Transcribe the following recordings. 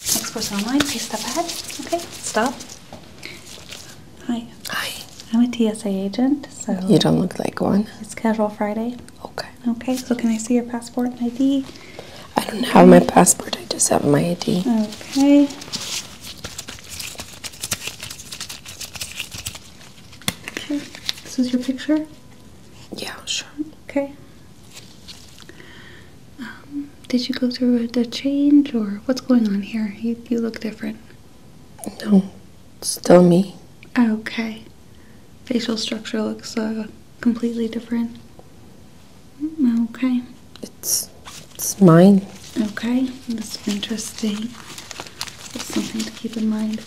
Next person online, please step ahead. Okay, stop. Hi. Hi. I'm a TSA agent, so. You don't look like one. It's Casual Friday. Okay. Okay, so can I see your passport and ID? I don't have my passport, I just have my ID. Okay. Okay, this is your picture? Yeah, sure. Okay. Um, did you go through a, change or what's going on here? You, you look different. No, still me. Okay. Facial structure looks uh, completely different. Okay. It's, it's mine. Okay, that's interesting. That's something to keep in mind.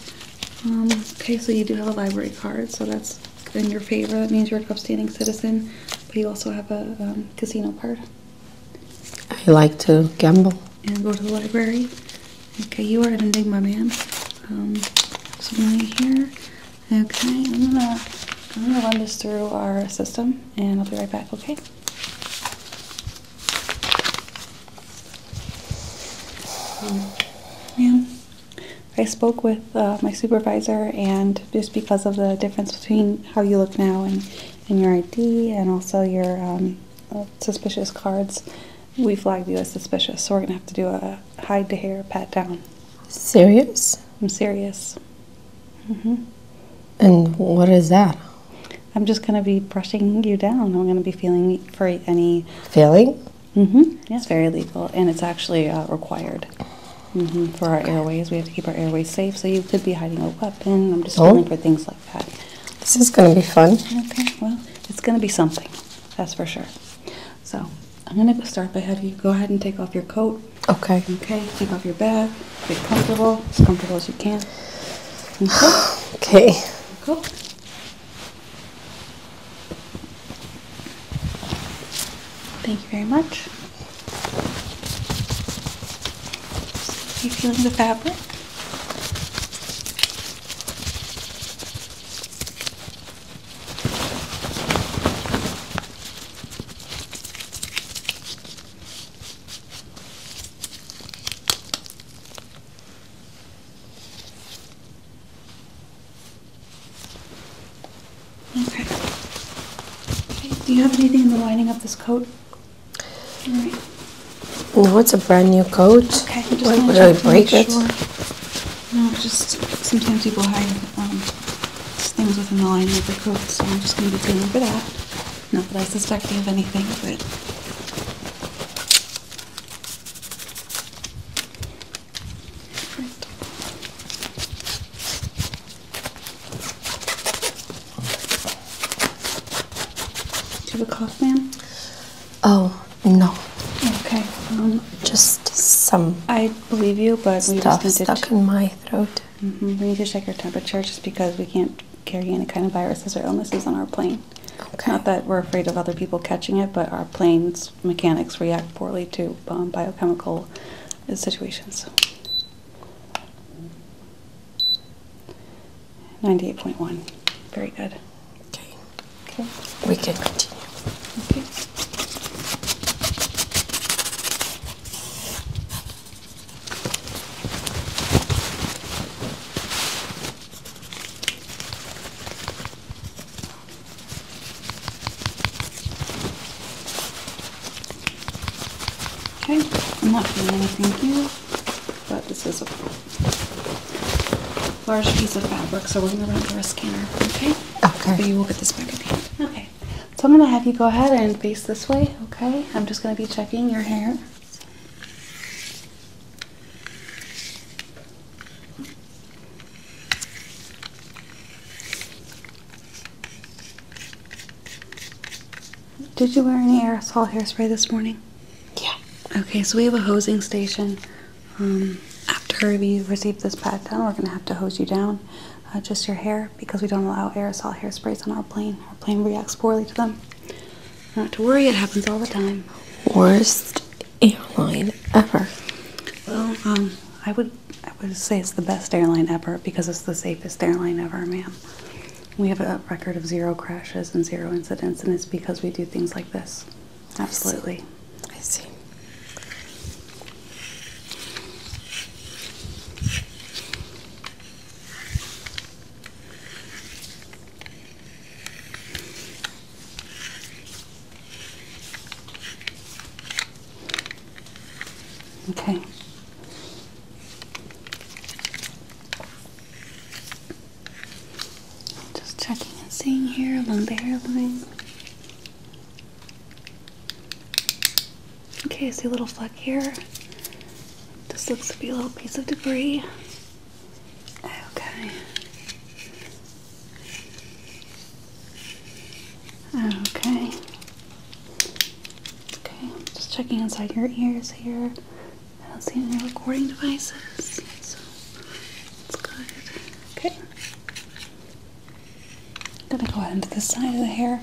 Um, okay, so you do have a library card, so that's in your favor. That means you're an upstanding citizen, but you also have a um, casino card. I like to gamble. And go to the library. Okay, you are an enigma, man. Um, so here. Okay, I'm gonna I'm gonna run this through our system, and I'll be right back. Okay. Um, yeah. I spoke with uh, my supervisor, and just because of the difference between how you look now and, and your ID and also your um, uh, suspicious cards, we flagged you as suspicious. So we're going to have to do a hide the hair pat down. Serious? I'm serious. hmm. And what is that? I'm just going to be brushing you down. I'm going to be feeling for any. feeling. hmm. It's very legal, and it's actually uh, required. Mm-hmm, for our airways, we have to keep our airways safe. So you could be hiding a weapon. I'm just oh. for things like that. This is going to be fun. Okay. Well, it's going to be something. That's for sure. So I'm going to start by having you go ahead and take off your coat. Okay. Okay. Take off your bag. Get comfortable, as comfortable as you can. Okay. okay. Cool. Thank you very much. Are you feeling the fabric? Okay. Do you have anything in the lining of this coat? All right. No, it's a brand new coat. just would I break it? No, just sometimes people hide um, things within the lining of the coat, so I'm just going to be dealing for that. Not that I suspect you have anything, but do you have a cough, ma'am? Oh, no. Okay. Um, just some. I believe you, but we just need to stuck in my throat. Mm-hmm, we need to check your temperature just because we can't carry any kind of viruses or illnesses on our plane. Okay. Not that we're afraid of other people catching it, but our planes mechanics react poorly to um, biochemical situations. 98.1. Very good. Okay. Okay. We can continue. Okay. Okay, I'm not feeling anything here, but this is a large piece of fabric, so we're going to run it through a scanner, okay? Okay. But you will get this back at the Okay, so I'm going to have you go ahead and face this way, okay? I'm just going to be checking your hair. Did you wear any aerosol hairspray this morning? Yeah. Okay, so we have a hosing station. Um, after we receive this pat down, we're going to have to hose you down, uh, just your hair, because we don't allow aerosol hairsprays on our plane. Our plane reacts poorly to them. Not to worry, it happens all the time. Worst airline ever? Well, um, I would I would say it's the best airline ever because it's the safest airline ever, ma'am. We have a record of zero crashes and zero incidents, and it's because we do things like this. Absolutely. I see. Okay. Just checking and seeing here along the hairline. Okay, I see a little fleck here. This looks to be a little piece of debris. Okay. Okay. Okay, just checking inside your ears here. I don't see any recording devices, so it's good. Okay. I'm gonna go ahead into the side of the hair.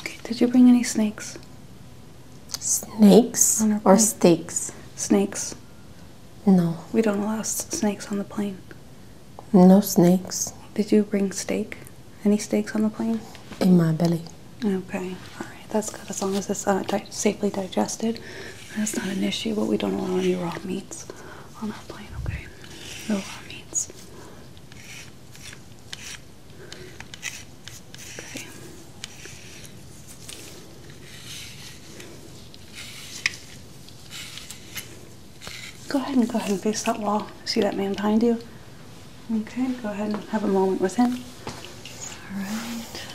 Okay, did you bring any snakes? Snakes or steaks? Snakes. No. We don't allow snakes on the plane. No snakes. Did you bring steak? Any steaks on the plane? In my belly. Okay, all right, that's good. As long as it's uh, safely digested, that's not an issue, but we don't allow any raw meats on that plane, okay? Know what that means. Okay. Go ahead and go ahead and face that wall. See that man behind you? Okay, go ahead and have a moment with him. Alright.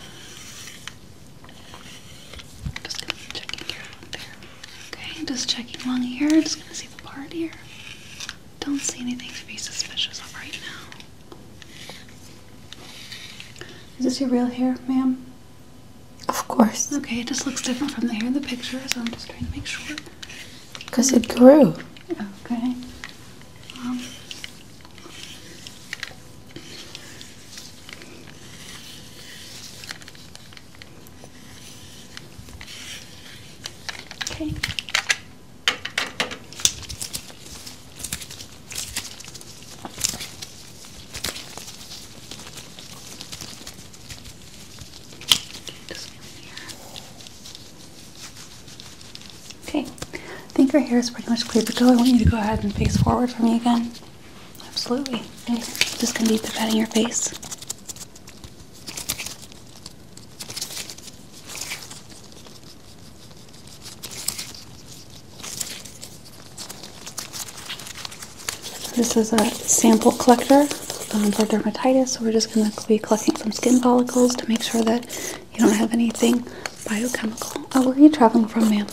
Just gonna checking here and there. Okay, just checking along here. Just gonna see the part here. Don't see anything to be suspicious of right now. Is this your real hair, ma'am? Of course. Okay, it just looks different from the hair in the picture, so I'm just trying to make sure. Because it grew. Okay. Um, Okay. Okay, I think your hair is pretty much clear But go. I want you to go ahead and face forward for me again. Absolutely. Just gonna be patting your face. This is a sample collector um, for dermatitis, so we're just going to be collecting some skin follicles to make sure that you don't have anything biochemical. Oh, where are you traveling from, ma'am?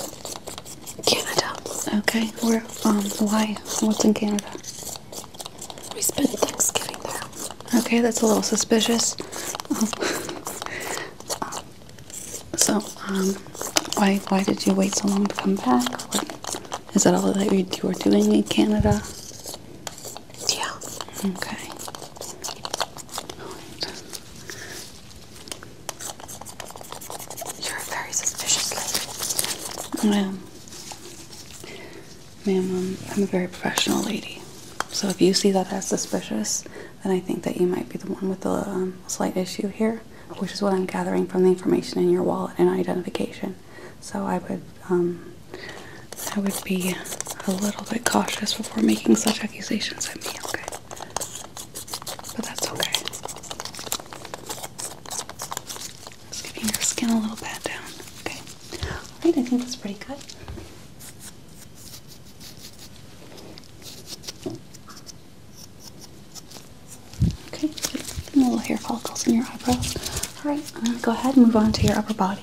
Canada. Okay, where? Um, why? What's in Canada? We spent Thanksgiving there. Okay, that's a little suspicious. Um, um, so, um, why why did you wait so long to come back? Is that all that you were doing in Canada? Yeah. Okay. You're a very suspicious lady. I am. Ma'am, I'm a very professional lady. So if you see that as suspicious, then I think that you might be the one with the um, slight issue here, which is what I'm gathering from the information in your wallet and identification. So I would, um, I would be a little bit cautious before making such accusations at me, okay? but that's okay. Just giving your skin a little pat down. Okay. Alright, I think that's pretty good. Okay, good. little hair follicles in your eyebrows. Alright, I'm uh, gonna go ahead and move on to your upper body.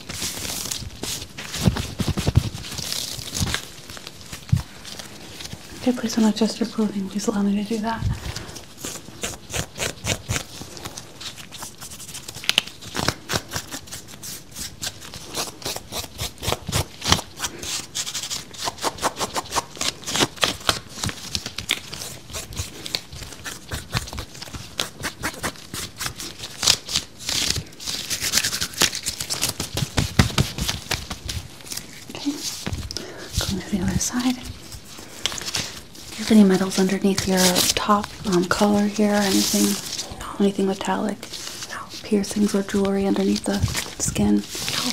Okay, please don't adjust your clothing. Please allow me to do that. Okay, going to the other side. Do you have any metals underneath your top um, collar here? Anything? Anything metallic? No. Piercings or jewelry underneath the skin? No.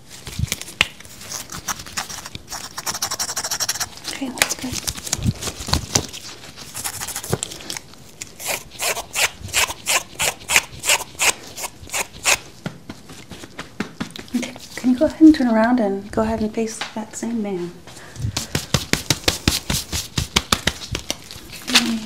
Okay, that's good. Okay, can you go ahead and turn around and go ahead and face that same man? Okay.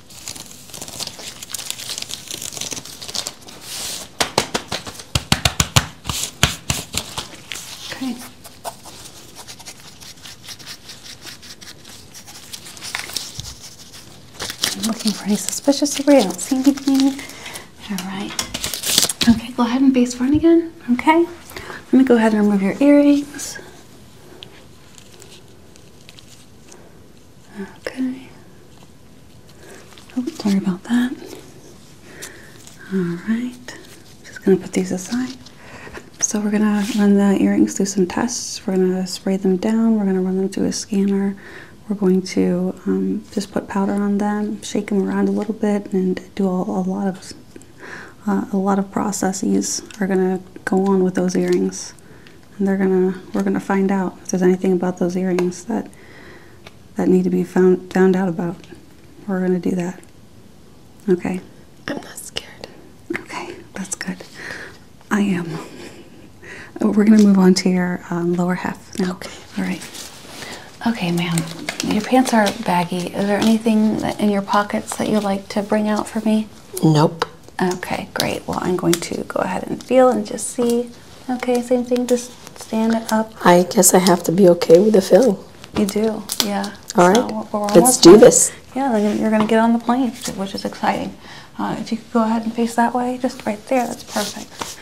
Okay. I'm looking for any suspicious debris. I don't see anything. All right. Okay, go ahead and base front again. Okay. Let me go ahead and remove your earrings. Okay. Oh, sorry about that. Alright. Just gonna put these aside. So we're gonna run the earrings through some tests. We're gonna spray them down. We're gonna run them through a scanner. We're going to um, just put powder on them, shake them around a little bit, and do a, lot of uh, a lot of processes are gonna go on with those earrings and they're gonna we're gonna find out if there's anything about those earrings that that need to be found found out about. We're gonna do that. Okay. I'm not scared. Okay, that's good. I am. Oh, we're gonna move on to your um, lower half. Okay. All right. Okay, ma'am. Your pants are baggy. Is there anything in your pockets that you'd like to bring out for me? Nope. Okay, great. Well, I'm going to go ahead and feel and just see. Okay, same thing. Just stand it up. I guess I have to be okay with the feeling. You do, yeah. All Let's do this. Yeah, you're going to get on the plane, which is exciting. Uh, if you could go ahead and face that way, just right there. That's perfect.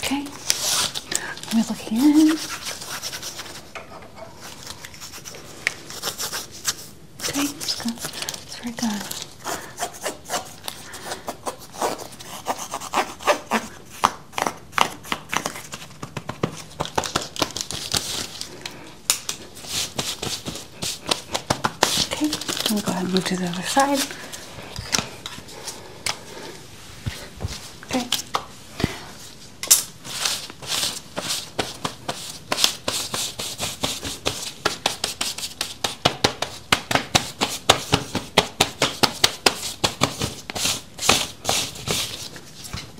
Okay, let me look here. Okay, it's good. It's very Okay, I'm go ahead and move to the other side. Okay. Okay,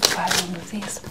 let's try one of these.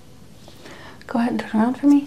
Go ahead and turn around for me.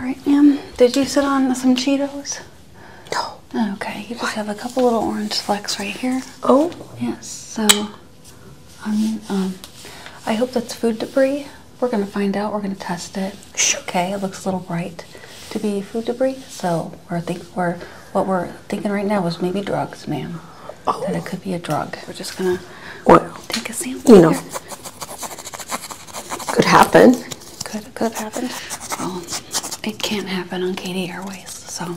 All right, ma'am. Did you sit on some Cheetos? No. Oh, okay, you just have a couple little orange flecks right here. Oh? Yes, so I mean, um, I hope that's food debris. We're gonna find out, we're gonna test it. Okay, it looks a little bright to be food debris, so we're think we're what we're thinking right now is maybe drugs, ma'am. Oh. That it could be a drug. We're just gonna or, take a sample. You know. Could happen. Could could happen. Well, it can't happen on Katie Airways, so.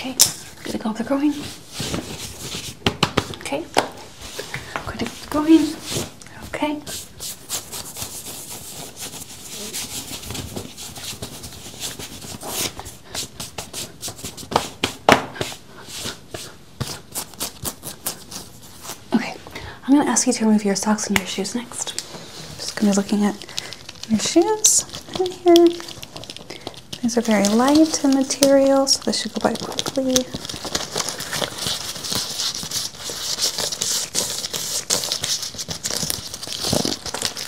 Okay, I'm gonna go up the groin. Okay, I'm gonna go up the groin. Okay. Okay, I'm going to ask you to remove your socks and your shoes next. just going to be looking at your shoes in here. These are very light in material, so they should go by quickly.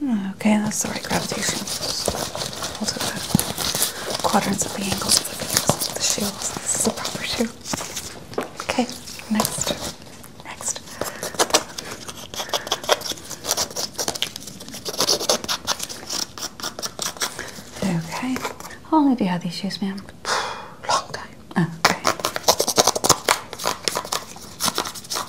Hmm, okay, that's the right gravitation. Hold it the quadrants of the angles of the fingers of the proper shoe. Okay, next. Next. Okay. How long have you had these shoes, ma'am? Long time. Oh, okay.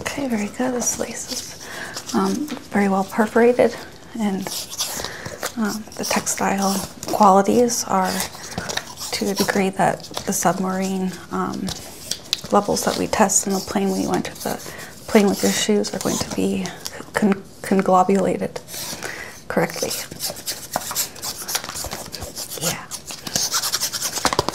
Okay, very good. This lace is um, very well perforated, and um, the textile qualities are to the degree that the submarine um, levels that we test in the plane when you enter the plane with your shoes are going to be conglobulated correctly. Yeah.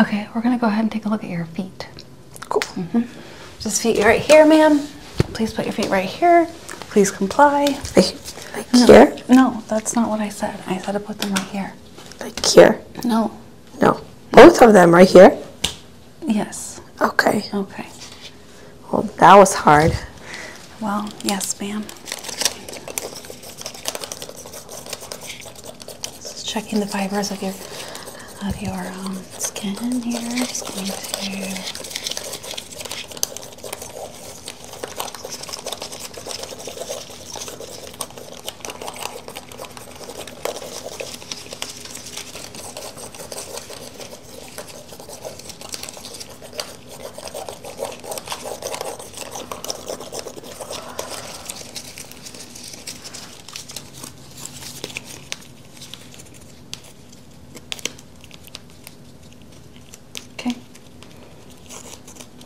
Okay, we're gonna go ahead and take a look at your feet. Cool. Mm-hmm. Just feet right here, ma'am. Please put your feet right here. Please comply. Like, no, here? No, that's not what I said. I said to put them right here. Like here? No. No. Both of them right here? Yes. Okay. Okay. Well, that was hard. Well, yes, ma'am. Just checking the fibers of your of your um, skin here. Okay.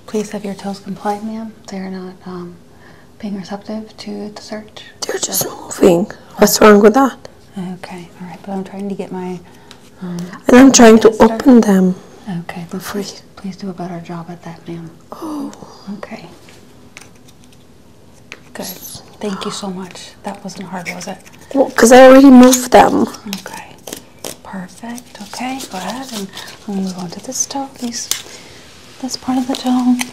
Please have your toes comply, ma'am. They're not um, being receptive to the search. They're just moving. What's wrong with that? Okay, all right, but I'm trying to get my. Um, and I'm trying to open them. Okay, before you Please, do a better job at that, ma'am. Oh. Okay. Good. Thank you so much. That wasn't hard, was it? Well, because I already moved them. Okay. Perfect. Okay. Go ahead and we'll move on to this toe. These, this part of the toe. Okay.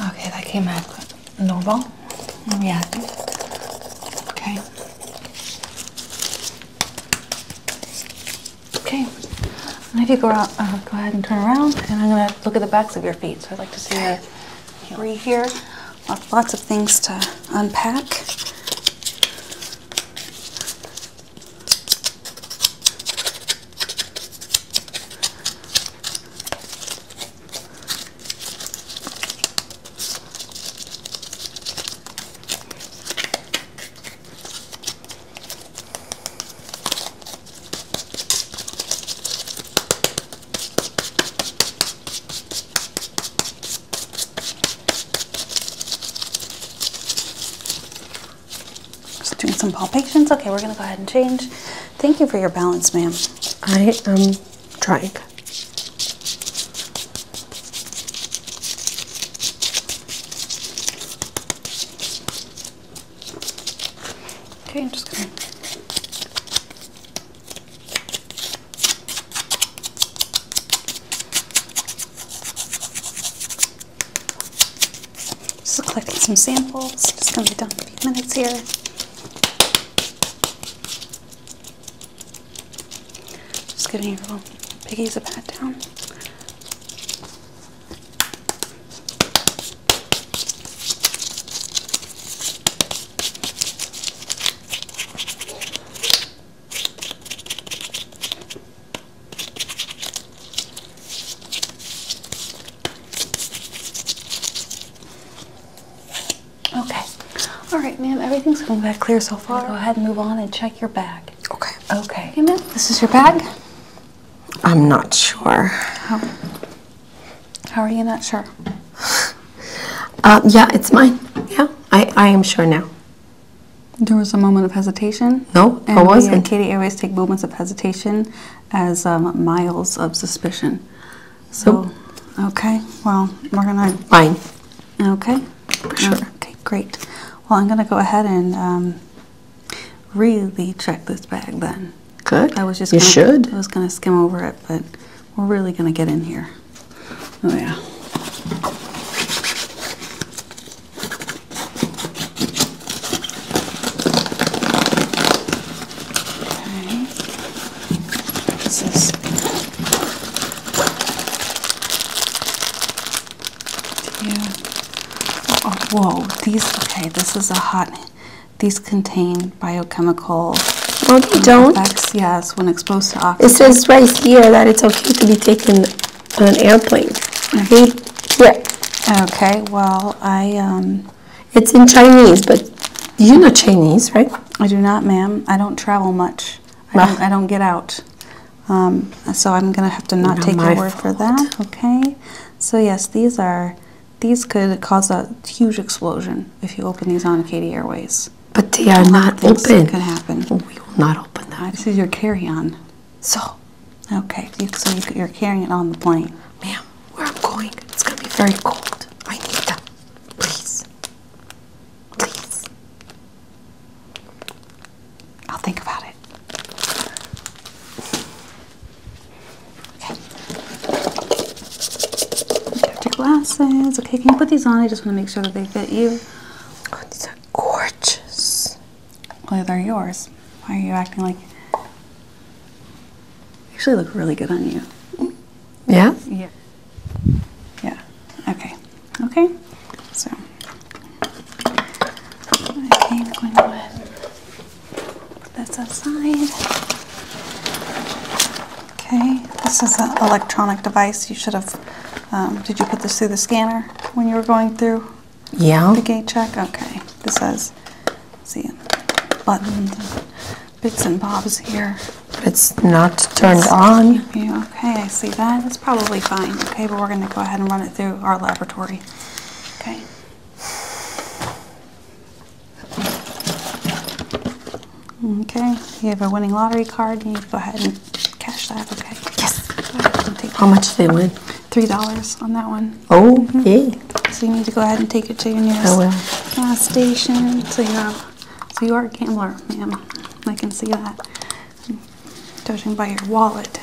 Okay, that came out good. Normal. and reactive. Okay. Okay. if you go out, uh, go ahead and turn around, and I'm gonna look at the backs of your feet. So I'd like to see your heel here. lots of things to unpack. Just doing some palpations. Okay, we're gonna go ahead and change. Thank you for your balance, ma'am. I am um, trying. Okay, I'm just gonna just collecting some samples. Just gonna be done in a few minutes here. Just giving your little piggies a pat down. Okay. All right, ma'am. Everything's going back clear so far. Go ahead and move on and check your bag. Okay. Okay. ma'am. This is your bag? I'm not sure. How, How are you not sure? Uh, yeah, it's mine. Yeah, I, I am sure now. There was a moment of hesitation. No, and wasn't. We Katie always take moments of hesitation as um, miles of suspicion. So, okay. Well, we're gonna. Fine. Okay. sure. Okay, great. Well, I'm gonna go ahead and um, really check this bag then. Good. I was just. You should. I was gonna skim over it, but we're really gonna get in here. Oh yeah. Okay. What's this? Yeah. Oh, whoa, these, okay, this is a hot, these contain biochemical well, they um, don't. yes, when exposed to oxygen. It says right here that it's okay to be taken on an airplane. Okay, yeah. okay well, I, um, it's in Chinese, but you know Chinese, right? I do not, ma'am. I don't travel much. I, don't, get out. Um, so I'm going to have to not, take your word for that. Okay. So yes, these are, these could cause a huge explosion if you open these on Katy Airways. But they are not open. That can happen. we will not open that. This is your carry-on. So. Okay. So you're carrying it on the plane. Ma'am where I'm going. It's gonna be very cold. I need them. Please. Please. I'll think about it. Okay. Got your glasses. Okay, can you put these on? I just want to make sure that they fit you. Oh, these are gorgeous. Well, they're yours. Why are you acting like Actually, look really good on you. Yeah. Yeah. Yeah. Okay. Okay. So I think i going to put this aside. Okay. This is an electronic device. You should have. Um, did you put this through the scanner when you were going through? Yeah. The gate check. Okay. This says See buttons bits and bobs here. It's not turned on. Yeah, okay, I see that. It's probably fine. Okay, but we're going to go ahead and run it through our laboratory. Okay. Okay, you have a winning lottery card. You need to go ahead and cash that, okay? Yes. How much did they win? $3 on that one. Oh, yeah. So you need to go ahead and take it to your nearest oh, gas station. So you have, so you are a gambler, ma'am. I can see that. Judging by your wallet.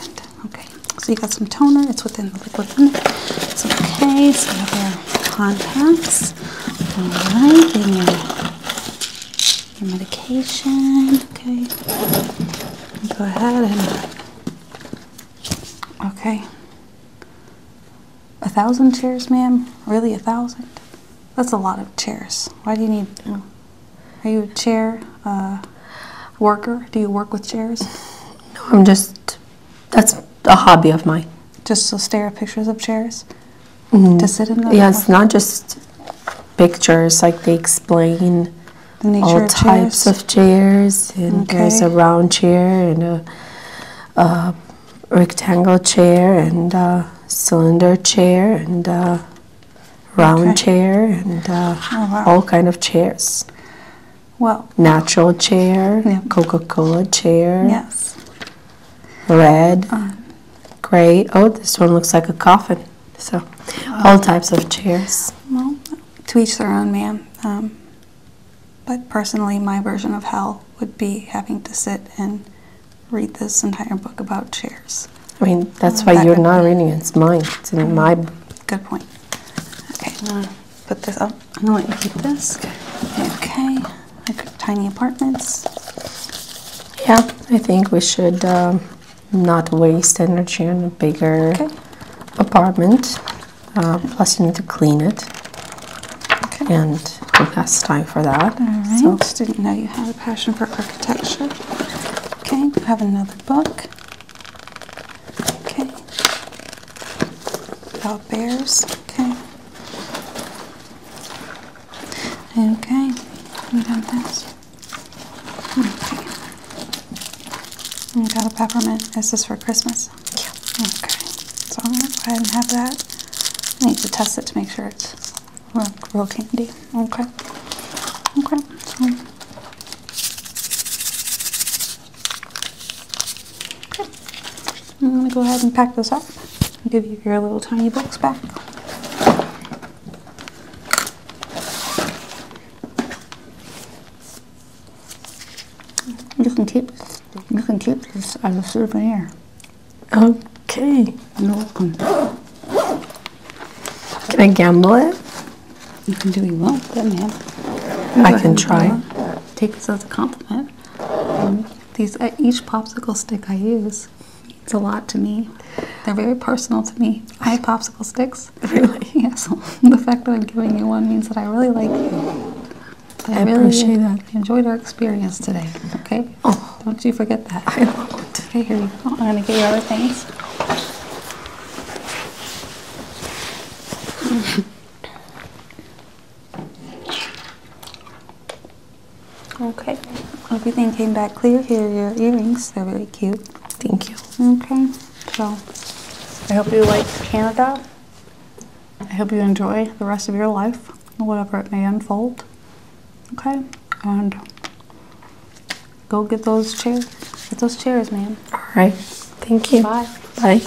Okay. So you got some toner. It's within the liquid okay. So your contacts. All right. And your, your medication. Okay. Go ahead and. Okay. A thousand chairs, ma'am? Really, a thousand? That's a lot of chairs. Why do you need? Are you a chair uh, worker? Do you work with chairs? No, I'm just. That's a hobby of mine. Just to stare at pictures of chairs. Mm-hmm. To sit in them. Yeah, it's not just pictures. Like they explain all types of chairs, and okay. there's a round chair and a uh, rectangle chair and uh, cylinder chair and uh, round chair and uh, oh, all kind of chairs. Well, natural chair, Coca-Cola chair. Yes. Red, um, gray. Oh, this one looks like a coffin. So, all types of chairs. Well, to each their own, ma'am. Um, but personally, my version of hell would be having to sit and read this entire book about chairs. I mean, that's um, why you're not be. reading it. It's mine. It's in my. Mm-hmm. Good point. Okay, I'm gonna put this up. I'm gonna let you keep this. Okay, tiny apartments. Yeah, I think we should um, not waste energy on a bigger okay. apartment. Uh, plus, you need to clean it. And it has time for that. I So. Didn't know you had a passion for architecture. Okay. You have another book. Okay. About bears. Okay. Okay. We have this. Hmm. Okay. We got a peppermint. This is for Christmas. Okay. So I'm gonna go ahead and have that. I need to test it to make sure it's real, candy. Okay. Okay. So. Okay. I'm gonna go ahead and pack this up. give you your little tiny box back. You can keep you can keep this as a souvenir. Okay. You're Can I gamble it? You can do what you want, man. I can try. Take this as a compliment. these uh, each popsicle stick I use It's a lot to me. They're very personal to me. I have popsicle sticks. really. Yeah, the fact that I'm giving you one means that I really like you. I, really appreciate that. Enjoyed our experience today. Okay. Oh. don't you forget that. I won't. I'm gonna get you other things. okay. Everything came back clear here. Your earrings—they're really cute. Thank you. Okay. So I hope you like Canada. I hope you enjoy the rest of your life, whatever it may unfold. Okay? And go get those chairs. Get those chairs, man. All right. Thank you. Bye. Bye.